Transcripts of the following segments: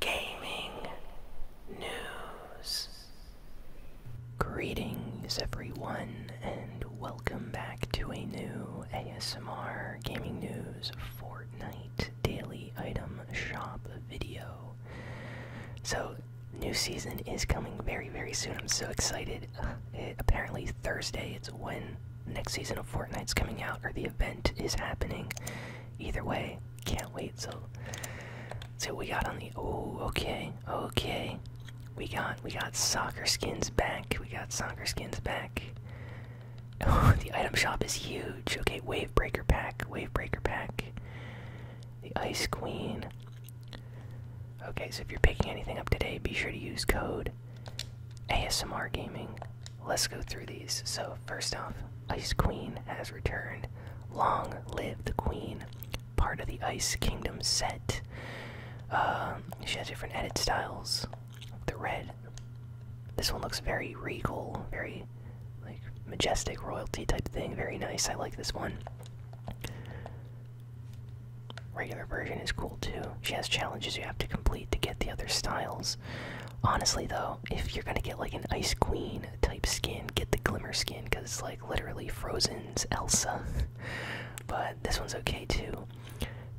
gaming news. Greetings, everyone, and welcome back to a new ASMR Gaming News Fortnite Daily Item Shop video. So, new season is coming very, very soon. I'm so excited. apparently, Thursday, it's when next season of Fortnite's coming out, or the event is happening. Either way, can't wait. So, so we got on the. Oh, okay, okay. We got we got soccer skins back. We got soccer skins back. the item shop is huge. Okay, wave breaker pack, wave breaker pack. The ice queen. Okay, so if you're picking anything up today, be sure to use code ASMR Gaming Let's go through these. So, first off, Ice Queen has returned. Long live the Queen, part of the Ice Kingdom set. Um, she has different edit styles. The red. This one looks very regal, very like majestic royalty type thing. Very nice. I like this one. Regular version is cool too. She has challenges you have to complete to get the other styles. Honestly, though, if you're gonna get like an Ice Queen type skin, get the Glimmer skin because it's like literally Frozen's Elsa. but this one's okay too.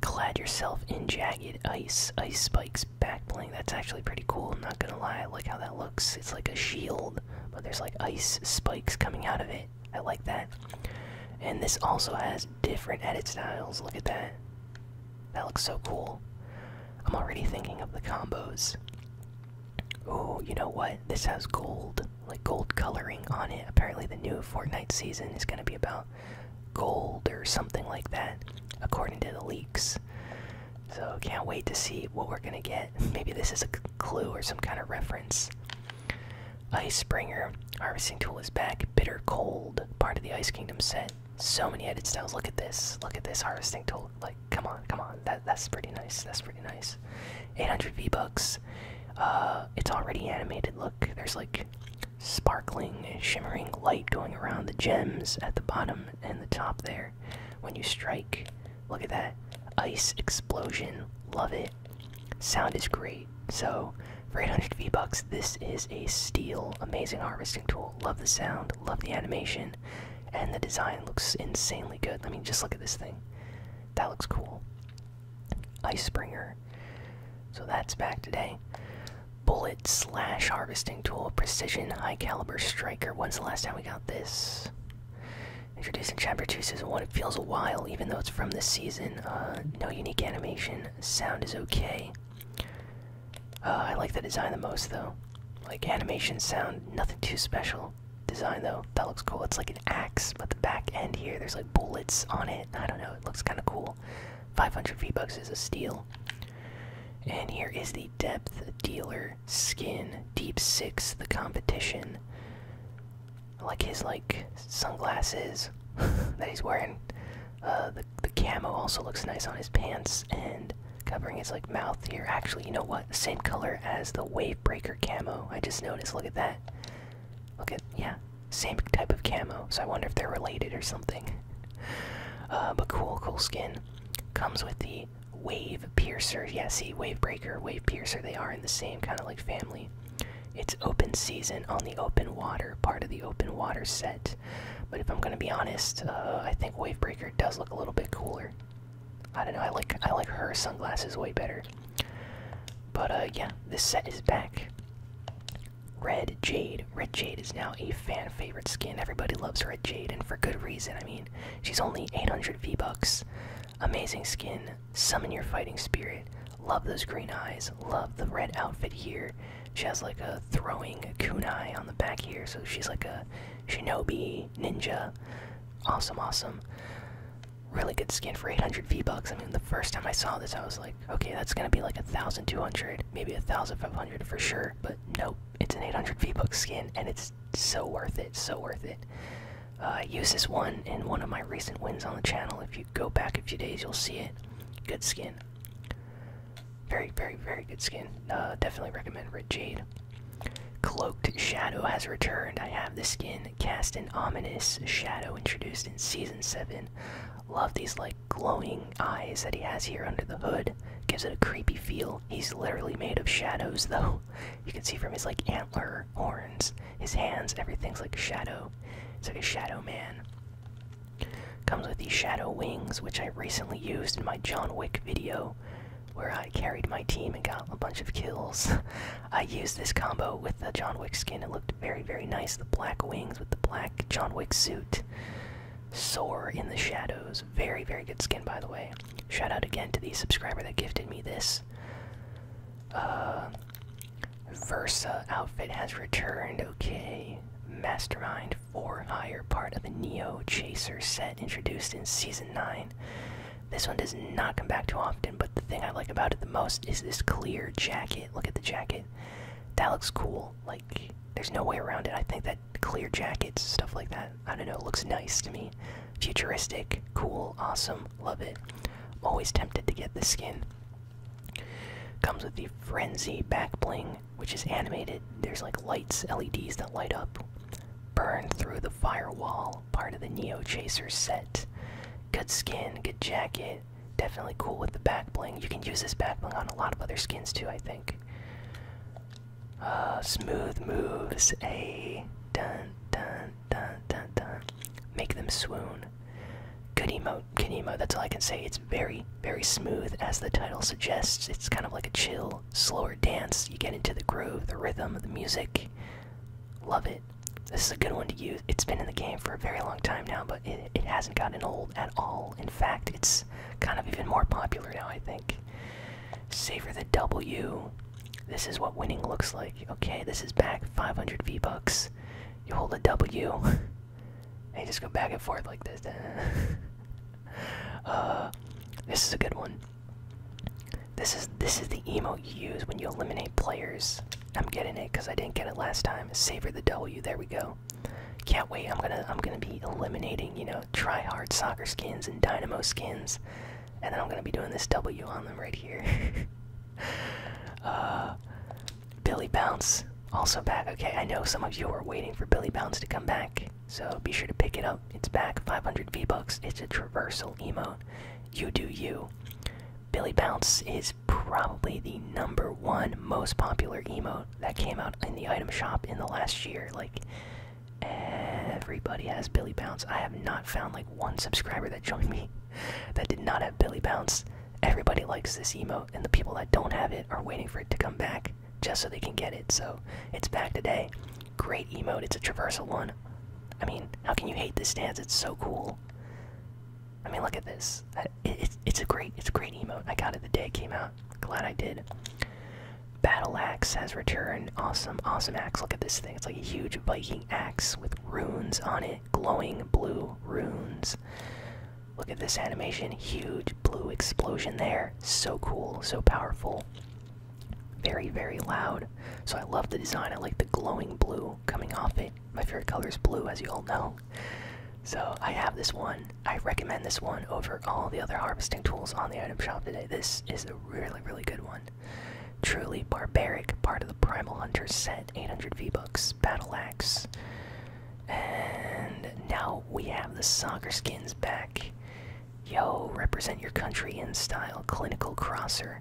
Clad yourself in jagged ice, ice spikes, backbling. That's actually pretty cool. I'm not gonna lie, I like how that looks. It's like a shield, but there's like ice spikes coming out of it. I like that. And this also has different edit styles. Look at that. That looks so cool. I'm already thinking of the combos. Oh, you know what? This has gold, like gold coloring on it. Apparently, the new Fortnite season is going to be about gold or something like that, according to the leaks. So, can't wait to see what we're going to get. Maybe this is a clue or some kind of reference. Ice Springer, Harvesting Tool is back. Bitter Cold, part of the Ice Kingdom set. So many edit styles. Look at this. Look at this harvesting tool. Like, come on, come on. That that's pretty nice. That's pretty nice. 800 V bucks. Uh, it's already animated. Look, there's like sparkling, shimmering light going around the gems at the bottom and the top there. When you strike, look at that ice explosion. Love it. Sound is great. So, for 800 V bucks, this is a steal. Amazing harvesting tool. Love the sound. Love the animation. And the design looks insanely good. I mean, just look at this thing. That looks cool. Ice Springer. So that's back today. Bullet slash harvesting tool. Precision high caliber striker. When's the last time we got this? Introducing Chapter 2 Season 1. It feels a while, even though it's from this season. Uh, no unique animation. Sound is okay. Uh, I like the design the most though. Like animation, sound, nothing too special. Design though, that looks cool. It's like an axe, but the back end here, there's like bullets on it. I don't know, it looks kind of cool. 500 V-Bucks is a steal. And here is the Depth Dealer skin, Deep Six, the competition. like his like sunglasses that he's wearing. Uh, the camo also looks nice on his pants and covering his like mouth here. Actually, you know what? Same color as the Wavebreaker camo. I just noticed. Look at that. Look at yeah, same type of camo. So I wonder if they're related or something. Uh, but cool, cool skin. Comes with the Wave Piercer. Yeah, see, Wavebreaker, Wave Piercer. They are in the same kind of like family. It's open season on the open water, part of the open water set. But if I'm gonna be honest, uh, I think Wavebreaker does look a little bit cooler. I don't know. I like I like her sunglasses way better. But uh, yeah, this set is back. Red Jade. Red Jade is now a fan favorite skin. Everybody loves Red Jade, and for good reason. I mean, she's only 800 V bucks. Amazing skin. Summon your fighting spirit. Love those green eyes. Love the red outfit here. She has like a throwing kunai on the back here, so she's like a shinobi ninja. Awesome, awesome. Really good skin for 800 V-Bucks. I mean, the first time I saw this, I was like, okay, that's gonna be like 1,200, maybe 1,500 for sure, but nope, it's an 800 V-Bucks skin, and it's so worth it, so worth it. Uh, used this one in one of my recent wins on the channel. If you go back a few days, you'll see it. Good skin. Very, very, very good skin. Uh, definitely recommend Red Jade. Cloaked Shadow has returned. I have the skin Cast an Ominous Shadow introduced in Season 7. Love these, like, glowing eyes that he has here under the hood. Gives it a creepy feel. He's literally made of shadows, though. You can see from his, like, antler horns, his hands, everything's like shadow. It's like a shadow man. Comes with these shadow wings, which I recently used in my John Wick video, where I carried my team and got a bunch of kills. I used this combo with the John Wick skin. It looked very, very nice. The black wings with the black John Wick suit. Soar in the shadows. Very, very good skin, by the way. Shout out again to the subscriber that gifted me this. Uh, Versa outfit has returned. Okay. Mastermind for higher part of the Neo Chaser set introduced in Season 9. This one does not come back too often, but the thing I like about it the most is this clear jacket. Look at the jacket. That looks cool. Like, there's no way around it. I think that clear jackets, stuff like that, I don't know, looks nice to me. Futuristic, cool, awesome, love it. always tempted to get the skin. Comes with the Frenzy back bling, thing, which is animated. There's like lights, LEDs that light up, burn through the firewall, part of the Neo Chaser set. Good skin, good jacket, definitely cool with the back bling. You can use this back bling on a lot of other skins too, I think. Uh, smooth moves, a dun dun dun dun dun. Make them swoon. Good emoji about that's all I can say. It's very, very smooth, as the title suggests. It's kind of like a chill, slower dance. You get into the groove, the rhythm, of the music. Love it. This is a good one to use. It's been in the game for a very long time now, but it, it hasn't gotten old at all. In fact, it's kind of even more popular now, I think. Savor the W. This is what winning looks like. Okay, this is back 500 V-Bucks. You hold a W. And you just go back and forth like this. uh, this is a good one. This is this is the emote you use when you eliminate players. I'm getting it because I didn't get it last time. Savor the W. There we go. Can't wait. I'm gonna I'm gonna be eliminating you know try hard soccer skins and dynamo skins, and then I'm gonna be doing this W on them right here. uh, Billy Bounce also back. Okay, I know some of you are waiting for Billy Bounce to come back, so be sure to pick it up. It's back, 500 V bucks. It's a traversal emote. You do you. Billy Bounce is probably the number one most popular emote that came out in the item shop in the last year. Like everybody has Billy Bounce. I have not found like one subscriber that joined me that did not have Billy Bounce. Everybody likes this emote, and the people that don't have it are waiting for it to come back just so they can get it. So it's back today. Great emote. It's a traversal one. I mean, how can you hate this dance? It's so cool. I mean, look at this. it's, it's a great, it's a great emote. I got it the day it came out. Glad I did. Battle axe has returned. Awesome, awesome axe. Look at this thing. It's like a huge Viking axe with runes on it, glowing blue runes. Look at this animation. Huge blue explosion there. So cool, so powerful. Very, very loud. So I love the design. I like the glowing blue coming off it. My favorite color is blue, as you all know. So I have this one. I recommend this one over all the other harvesting tools on the item shop today. This is a really, really good one. Truly barbaric, part of the Primal Hunter set, 800 V-Bucks battle axe. And now we have the soccer skins back. Yo, represent your country in style, clinical crosser.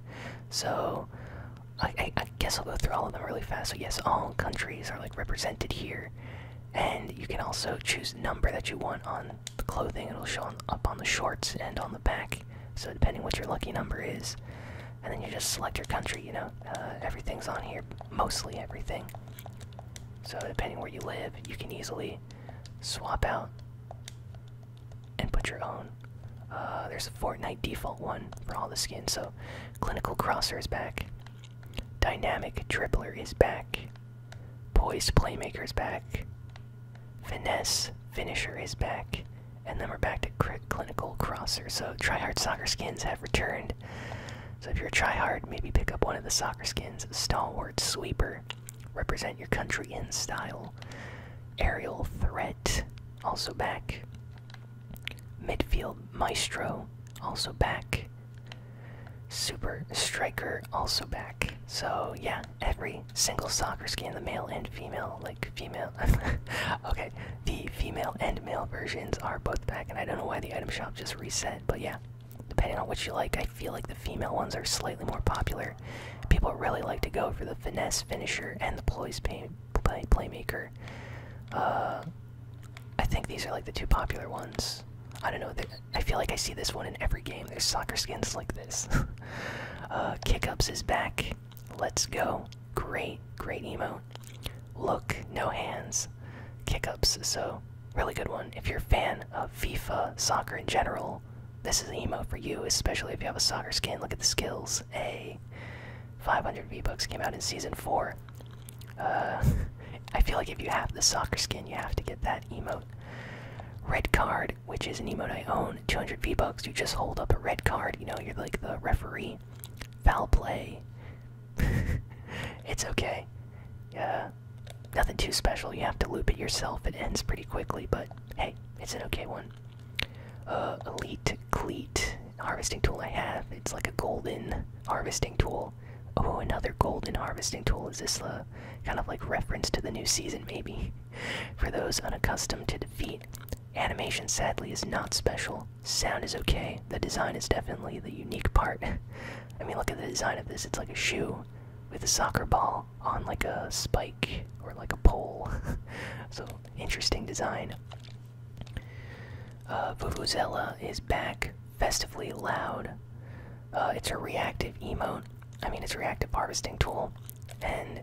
So, I, guess I'll go through all of them really fast. So, yes, all countries are like represented here. And you can also choose number that you want on the clothing. It'll show up on the shorts and on the back. So depending what your lucky number is, and then you just select your country. You know, uh, everything's on here, mostly everything. So, depending where you live, you can easily swap out and put your own. Uh, there's a Fortnite default one for all the skins. So, Clinical Crosser is back, Dynamic Dribbler is back, Poised Playmaker is back, Finesse Finisher is back, and then we're back to Clinical Crosser. So, Tryhard Soccer skins have returned. So if you're a tryhard, maybe pick up one of the soccer skins. Stalwart Sweeper. Represent your country in style. Aerial Threat. Also back. Midfield Maestro. Also back. Super Striker. Also back. So yeah, every single soccer skin, the male and female, like female. okay, the female and male versions are both back, and I don't know why the item shop just reset, but yeah. Depending on what you like, I feel like the female ones are slightly more popular. People really like to go for the finesse finisher and the ploys pay, playmaker. Uh, I think these are like the two popular ones. I don't know. I feel like I see this one in every game. There's soccer skins like this. uh, Kickups is back. Let's go. Great, great emote. Look, no hands. Kick ups, so really good one. If you're a fan of FIFA, soccer in general, this is an emote for you, especially if you have a soccer skin. Look at the skills. A 500 V-Bucks came out in season 4. Uh, I feel like if you have the soccer skin, you have to get that emote. Red card, which is an emote I own, 200 V-Bucks. You just hold up a red card, you know, you're like the referee. Foul play, it's okay. Yeah, nothing too special. You have to loop it yourself. It ends pretty quickly, but hey, it's an okay one. Uh, elite cleat harvesting tool I have. It's like a golden harvesting tool. Oh, another golden harvesting tool. Is this a kind of like reference to the new season, maybe? For those unaccustomed to defeat, animation sadly is not special. Sound is okay. The design is definitely the unique part. I mean, look at the design of this. It's like a shoe with a soccer ball on like a spike or like a pole. so, interesting design. Uh, Vuvuzela is back, festively loud. Uh, it's a reactive emote. I mean, it's a reactive harvesting tool. And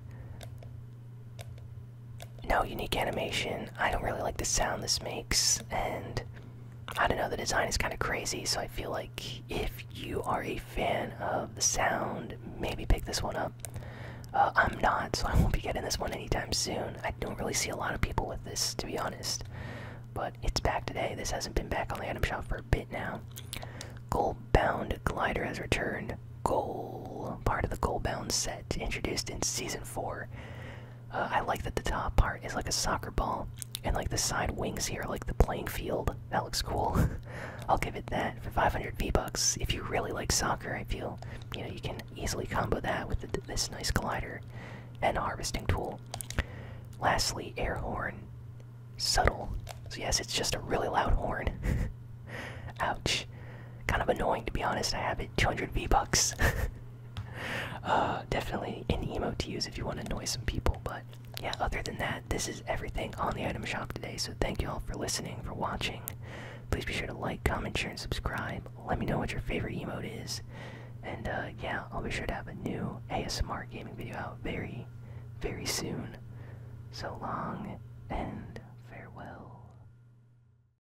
no unique animation. I don't really like the sound this makes, and I don't know, the design is kind of crazy, so I feel like if you are a fan of the sound, maybe pick this one up. Uh, I'm not, so I won't be getting this one anytime soon. I don't really see a lot of people with this, to be honest. But it's back today. This hasn't been back on the item shop for a bit now. Gold-bound glider has returned. Gold, part of the gold-bound set, introduced in season four. Uh, I like that the top part is like a soccer ball, and like the side wings here, like the playing field. That looks cool. I'll give it that for 500 V bucks. If you really like soccer, I feel you know you can easily combo that with this nice collider and harvesting tool. Lastly, air horn, subtle. So yes, it's just a really loud horn. Ouch. Kind of annoying to be honest. I have it 200 V bucks. Uh, definitely an emote to use if you want to annoy some people. But yeah, other than that, this is everything on the item shop today. So thank you all for listening, for watching. Please be sure to like, comment, share, and subscribe. Let me know what your favorite emote is. And uh, yeah, I'll be sure to have a new ASMR gaming video out very, very soon. So long and farewell.